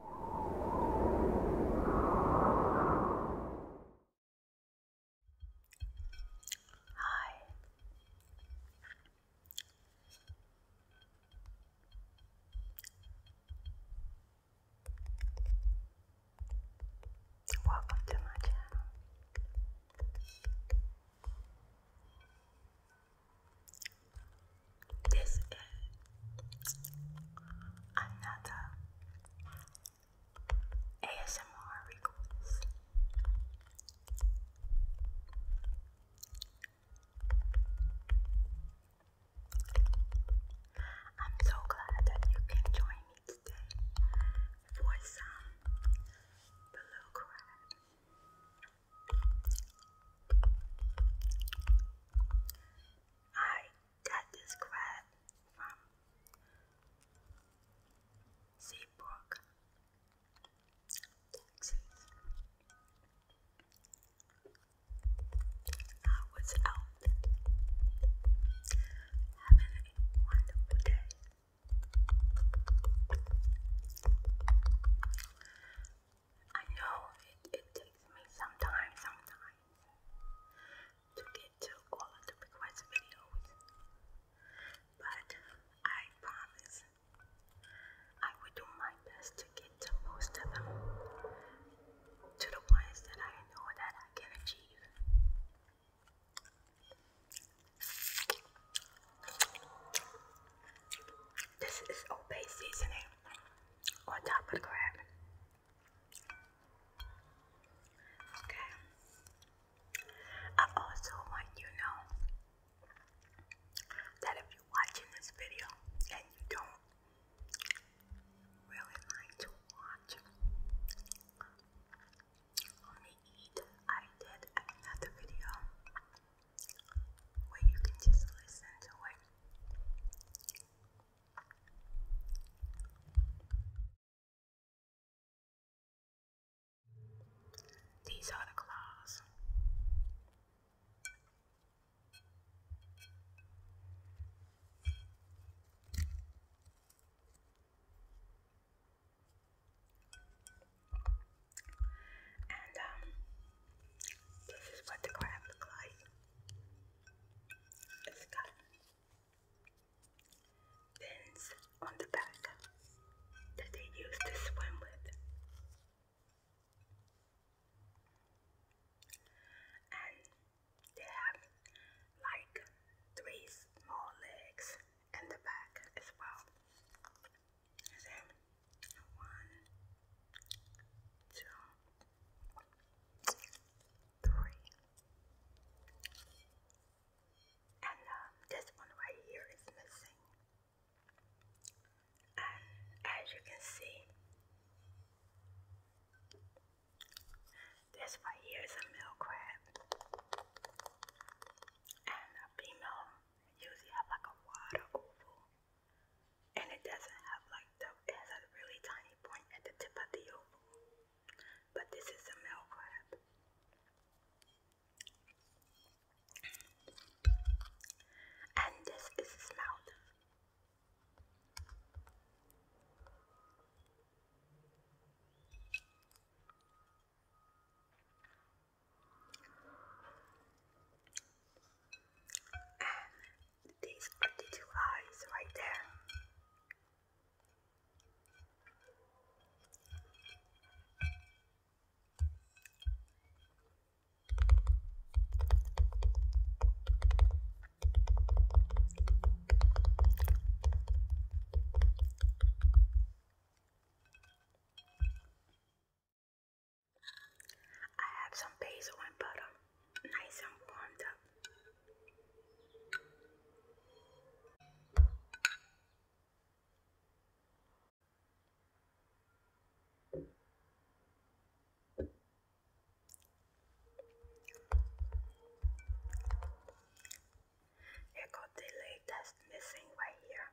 Hi. Welcome to my channel. This is another ASMR request. I'm so glad that you can join me today for some blue I got this crab from Seabrook, I was out having a wonderful day. I know it, it takes me some time sometimes to get to all the request videos, but I promise I will do my best to get to most of them, to the ones that I know that I can achieve. This is Obey Seasoning. On top of the crab. Okay. I also want you to know that if you're watching this video and you don't really like to watch me eat, I did another video where you can just listen to it. These are the claws. And um, this is what the crab looks like. It's got fins on the back that they use to swim with. And they have like three small legs in the back as well. And one, two, three. And um, this one right here is missing. And as you can see, this right here is a male crab. And a female usually have like a water oval and it doesn't have like the it has a really tiny point at the tip of the oval. But this is a male crab. And this is his mouth these are the two eyes right there. I have some basil and butter, nice and warmed up. Here got the leg that's missing right here.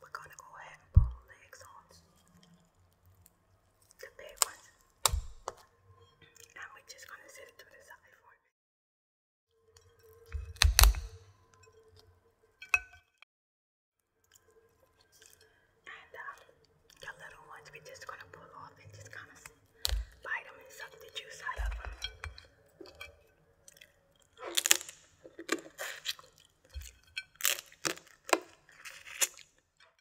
We're going to go ahead and pull the legs on the big ones. And we're just gonna set it to the side for And uh, the little ones we're just gonna pull off and just kind of bite them and suck the juice out of them.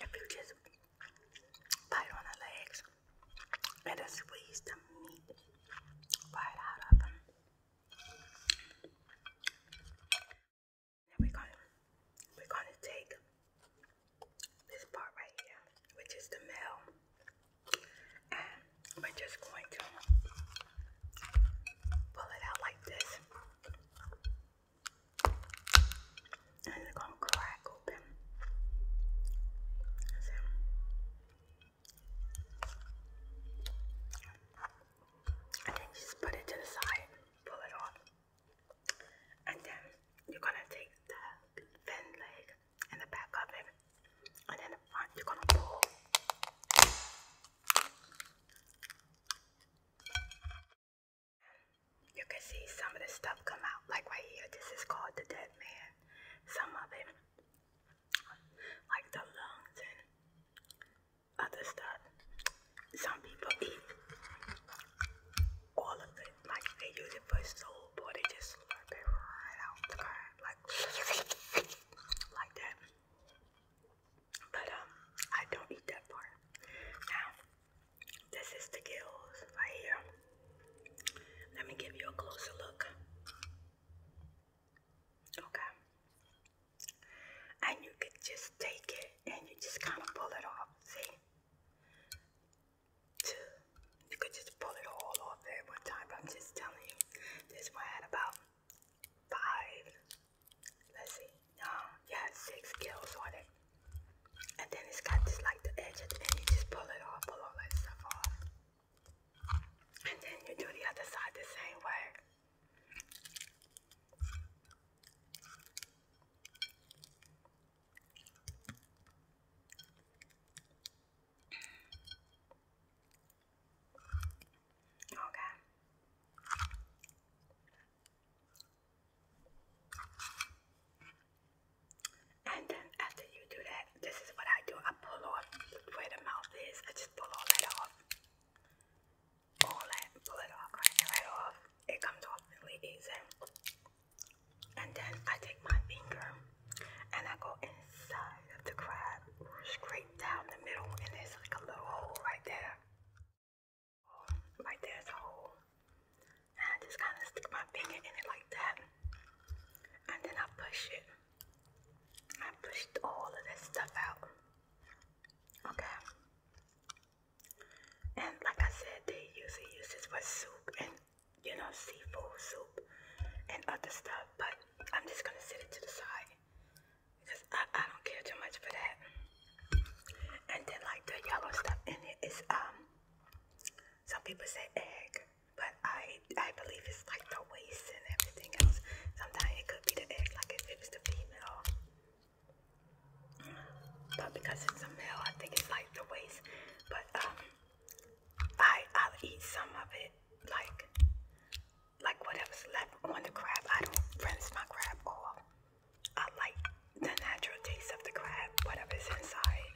If you just bite on the legs and squeeze the meat right out of them. Then we're gonna we're gonna take this part right here, which is the male, and we're just going to pull it out like this, and it's going to crack open. So, and then just put it to the side, pull it off, and then you're gonna take the thin leg and the back of it, and then the front you're gonna pull. You can see some of the stuff come out, like right here. This is called the dead man. Some of it, like the lungs and other stuff. Some people eat all of it like they use it for soul, but they just slurp it right out the car, like like that. But um, I don't eat that part. Now, this is the gills right here. Let me give you a closer look. Okay. And you could just take it and you just kind of pull it off. See? You could just pull it all off at one time, but I'm just telling you, this one had about five, let's see, no, um, yeah, six kills on it. And then it's got just like the edge at the end, you just pull it off, pull all that stuff off. And then you do the other side the same way. Okay. And then after you do that, this is what I do. I pull off where the mouth is. I just pull all that off. All that, pull it off, right off. It comes off really easy. And then I take my finger and I go inside of the crab, scrape down the middle, and there's like a little hole right there. right there's a hole. And I just kind of stick my finger in it like that. And then I push it. I push all of this stuff out. Okay. And like I said, they usually use this for soup and you know, seafood soup and other stuff, but I'm just gonna set it to the side because I, I don't care too much for that. And then like the yellow stuff in it is um some people say egg, but I I believe it's like the waste and everything else. Sometimes it could be the egg, like if it was the female. But because it's a male, I think it's like the waste. But um I I'll eat some of it, like like whatever's left on the crab. I don't rinse my crab off. I like the natural taste of the crab, whatever's inside.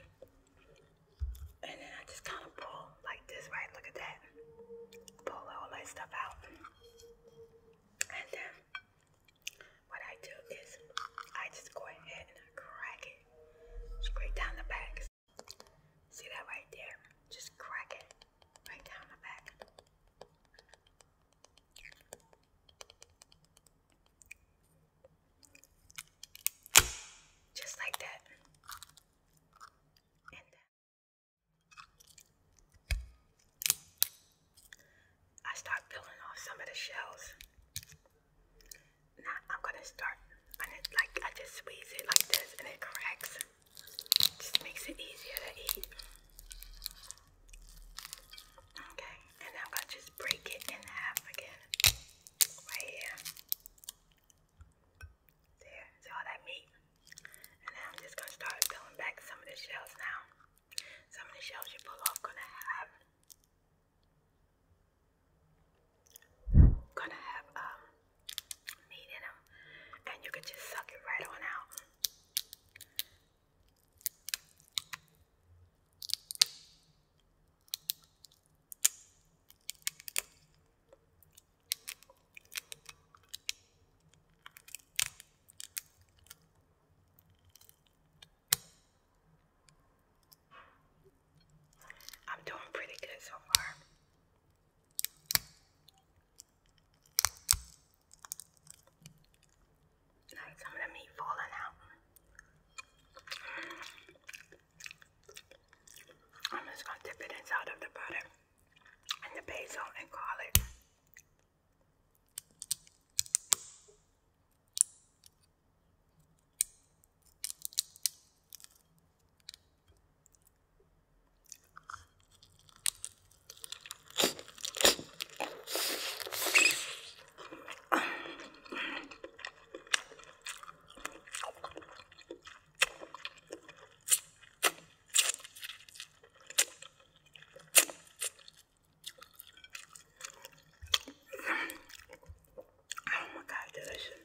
And then I just kind of pull like this, right? Look at that. Pull all that stuff out. And then what I do is I just go ahead and I crack it scrape down the back. Just see that right there. Just crack it right down the back. Just like that. And then I start peeling off some of the shells. Now I'm gonna start and it like I just squeeze it like this and it cracks. It just makes it easier to eat. Okay, and I'm gonna just break it in half again. Right here. There, see all that meat. And then I'm just gonna start peeling back some of the shells now. Some of the shells you pull off gonna have gonna have um meat in and you can just suck it right on out. I'm doing pretty good so far. Now some of the meat falling out. I'm just gonna dip it inside of the butter and the basil and garlic. Oh my god, delicious.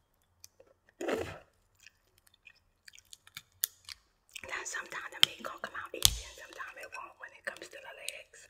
Now sometimes the meat going come out easy and sometimes it won't when it comes to the legs.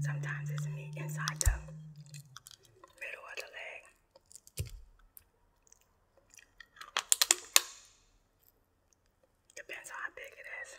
Sometimes it's meat inside the middle of the leg. Depends on how big it is.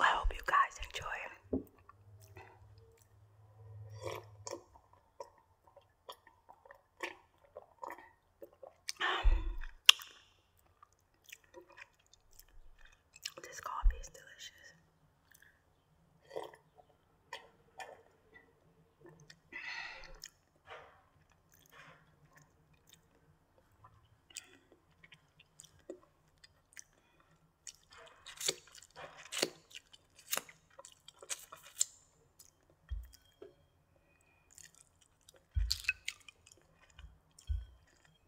I hope you guys enjoy. Um, this coffee is delicious.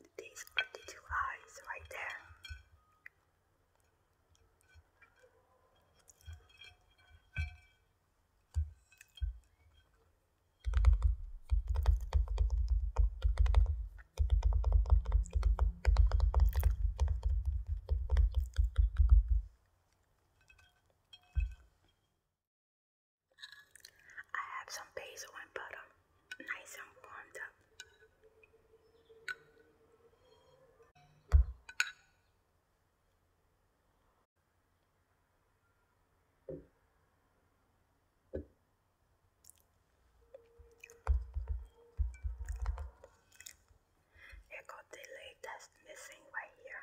And these are the two eyes right there. I have some basil and butter, nice and warmed up. Here got the leg that's missing right here.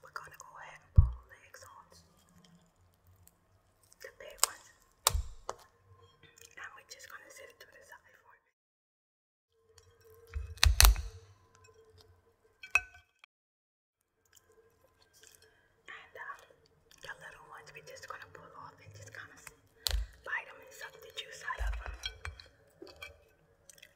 We're gonna go ahead and pull the exhausts, the big ones, and we're just gonna set it to the side for And uh, the little ones we're just gonna pull off and just kind of bite them and suck the juice out of them.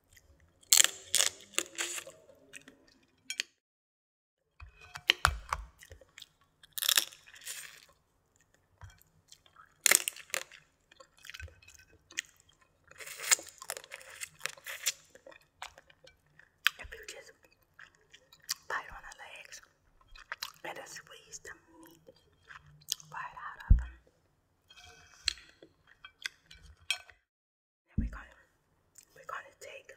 If you just bite on the legs and squeeze the meat right out of them. And we're gonna we're gonna take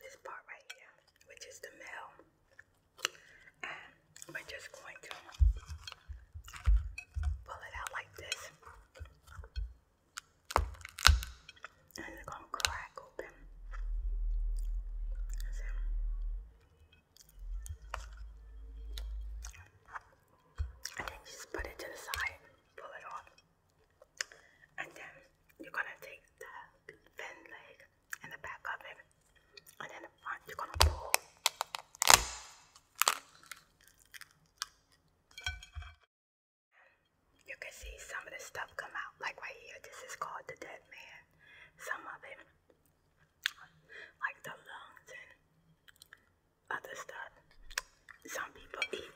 this part right here, which is the mill, and we're just going to pull it out like this. And it's gonna crack open. And then just put it to the side, pull it off and then you're gonna take the thin leg and the back of it, and then the front you're gonna pull. You can see some of the stuff come out, like right here. This is called the dead man. Some of it, like the lungs other stuff. Some people eat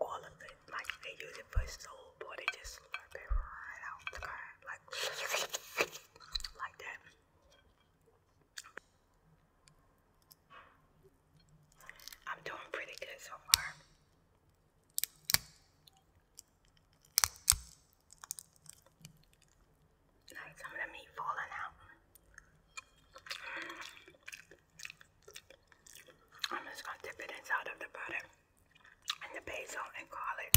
all of it, like they use it for soul, but they just slurp it right out like like that. I'm doing pretty good so far. some of them meat falling out. I'm just going to dip it inside of the butter and the basil and garlic.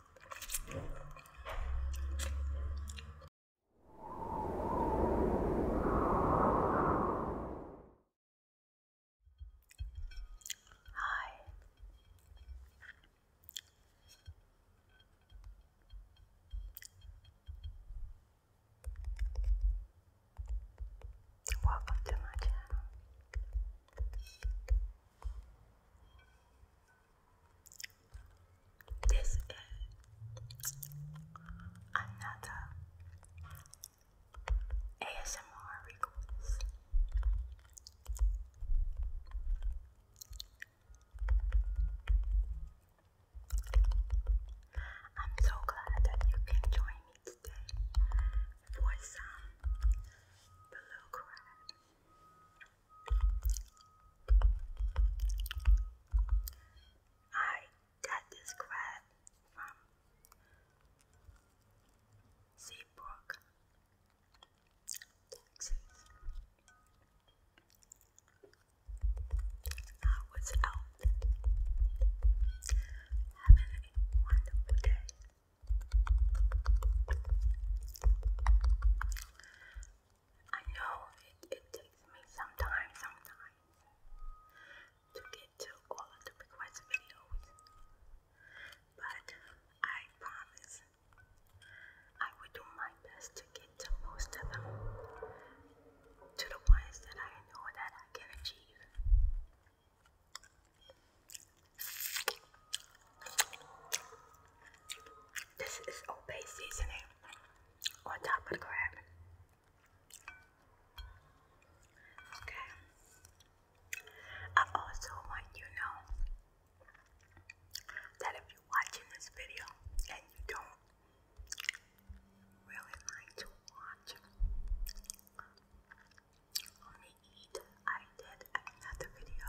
Hi. Welcome to my channel. This is another ASMR request. I'm so glad that you can join me today for some blue crab. I got this crab from Seabrook, I was out having a wonderful day. I know it, it takes me some time sometimes to get to all of the request videos, but I promise I will do my best to get to most of them, to the ones that I know that I can achieve. This is Obey seasoning on top of the crab. Okay. I also want you know that if you're watching this video and you don't really like to watch me eat, I did another video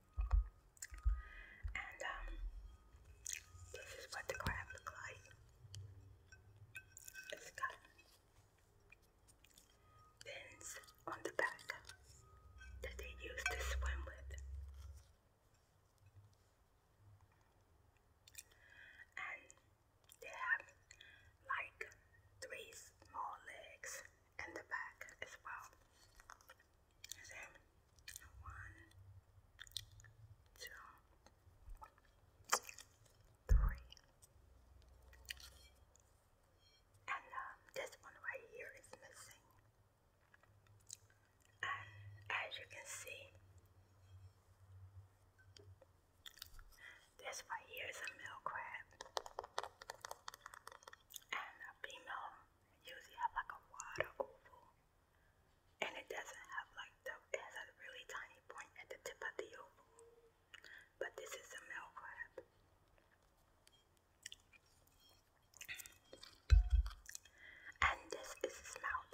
And um, this is what the crab looks like. It's got fins on the back that they use to swim with. And they have like three small legs in the back as well one, two, three? And um, this one right here is missing. And as you can see, this right here is a male crab. And a female usually have like a water oval and it doesn't have like the it has a really tiny point at the tip of the oval. But this is a male crab. And this is his mouth.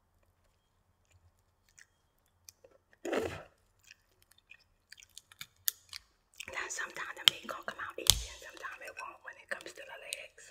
Now sometimes the meat gonna come out easy and sometimes it won't when it comes to the legs.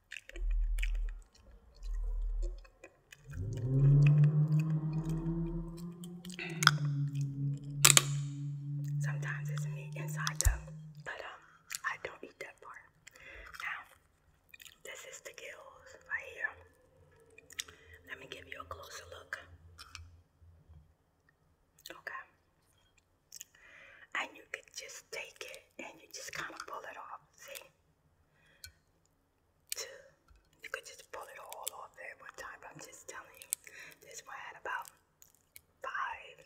Sometimes it's me inside them, but um, I don't eat that part. Now, this is the gills right here. Let me give you a closer look. Okay. And you could just take it and you just kind of pull it off. See? You could just pull it all off there one time, I'm just telling you, this one had about five,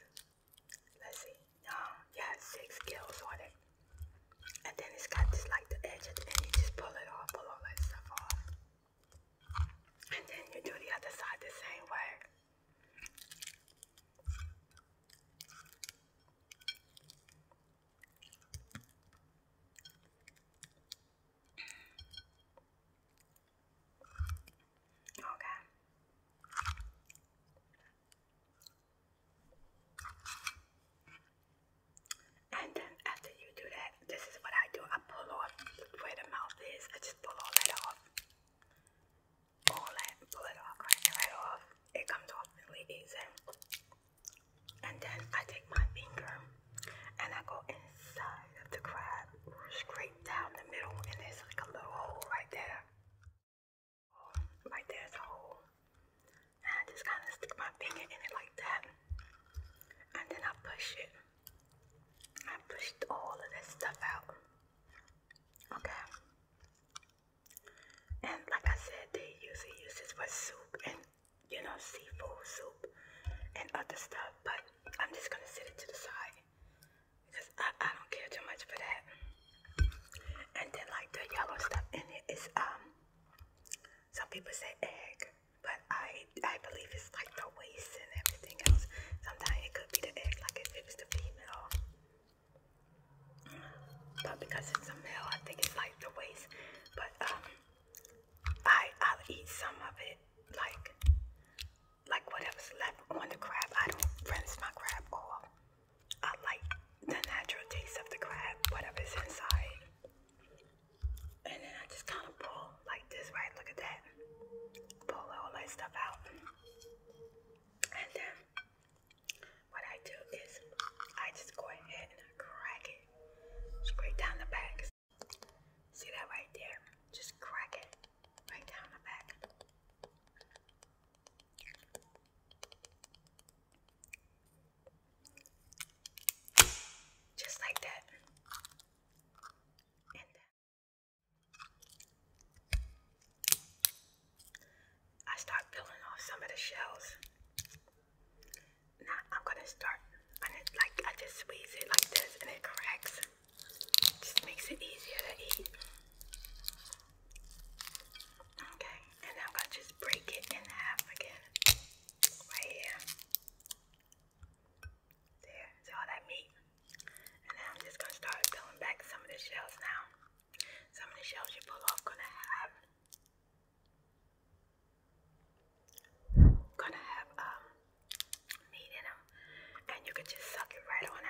let's see, no, um, yeah, six scales on it. And then it's got this like the edge at you just pull it off, pull all that stuff off. And then you do the other side the same way. Okay. And then after you do that, this is what I do. I pull off where the mouth is. I just pull all that off. All that, pull it off, right off. It comes off really easy. And then I take my finger and I go inside of the crab, scrape down the middle, and there's like a little hole right there. right there's a hole. And I just kind of stick my finger in it like that. And then I push it. I pushed all of this stuff out. Okay. And like I said, they usually use this for soup and you know seafood soup and other stuff. But I'm just gonna set it to the side because I, I don't care too much for that. And then like the yellow stuff in it is um some people say egg, but I I believe it's like the waste and everything else. Sometimes it could be the egg, like if it was the female but because it's a meal, I think it's like the waste. But um, I I'll eat some of it, like like whatever's left on the crab. I don't rinse my crab off. I like the natural taste of the crab, whatever's inside. And then I just kind of pull like this, right? Look at that. Pull all that stuff out, and then what I do is I just go ahead and I crack it straight down the back. See that right there? Just crack it right down the back. Just like that. And then I start peeling off some of the shells. Now I'm gonna start and it like I just squeeze it like this and it cracks. Just makes it easier to eat. Okay, and I'm gonna just break it in half again. Right here. There, see all that meat? And then I'm just gonna start pulling back some of the shells now. Some of the shells you pull off gonna have gonna have um, meat in and you can just suck it right on out.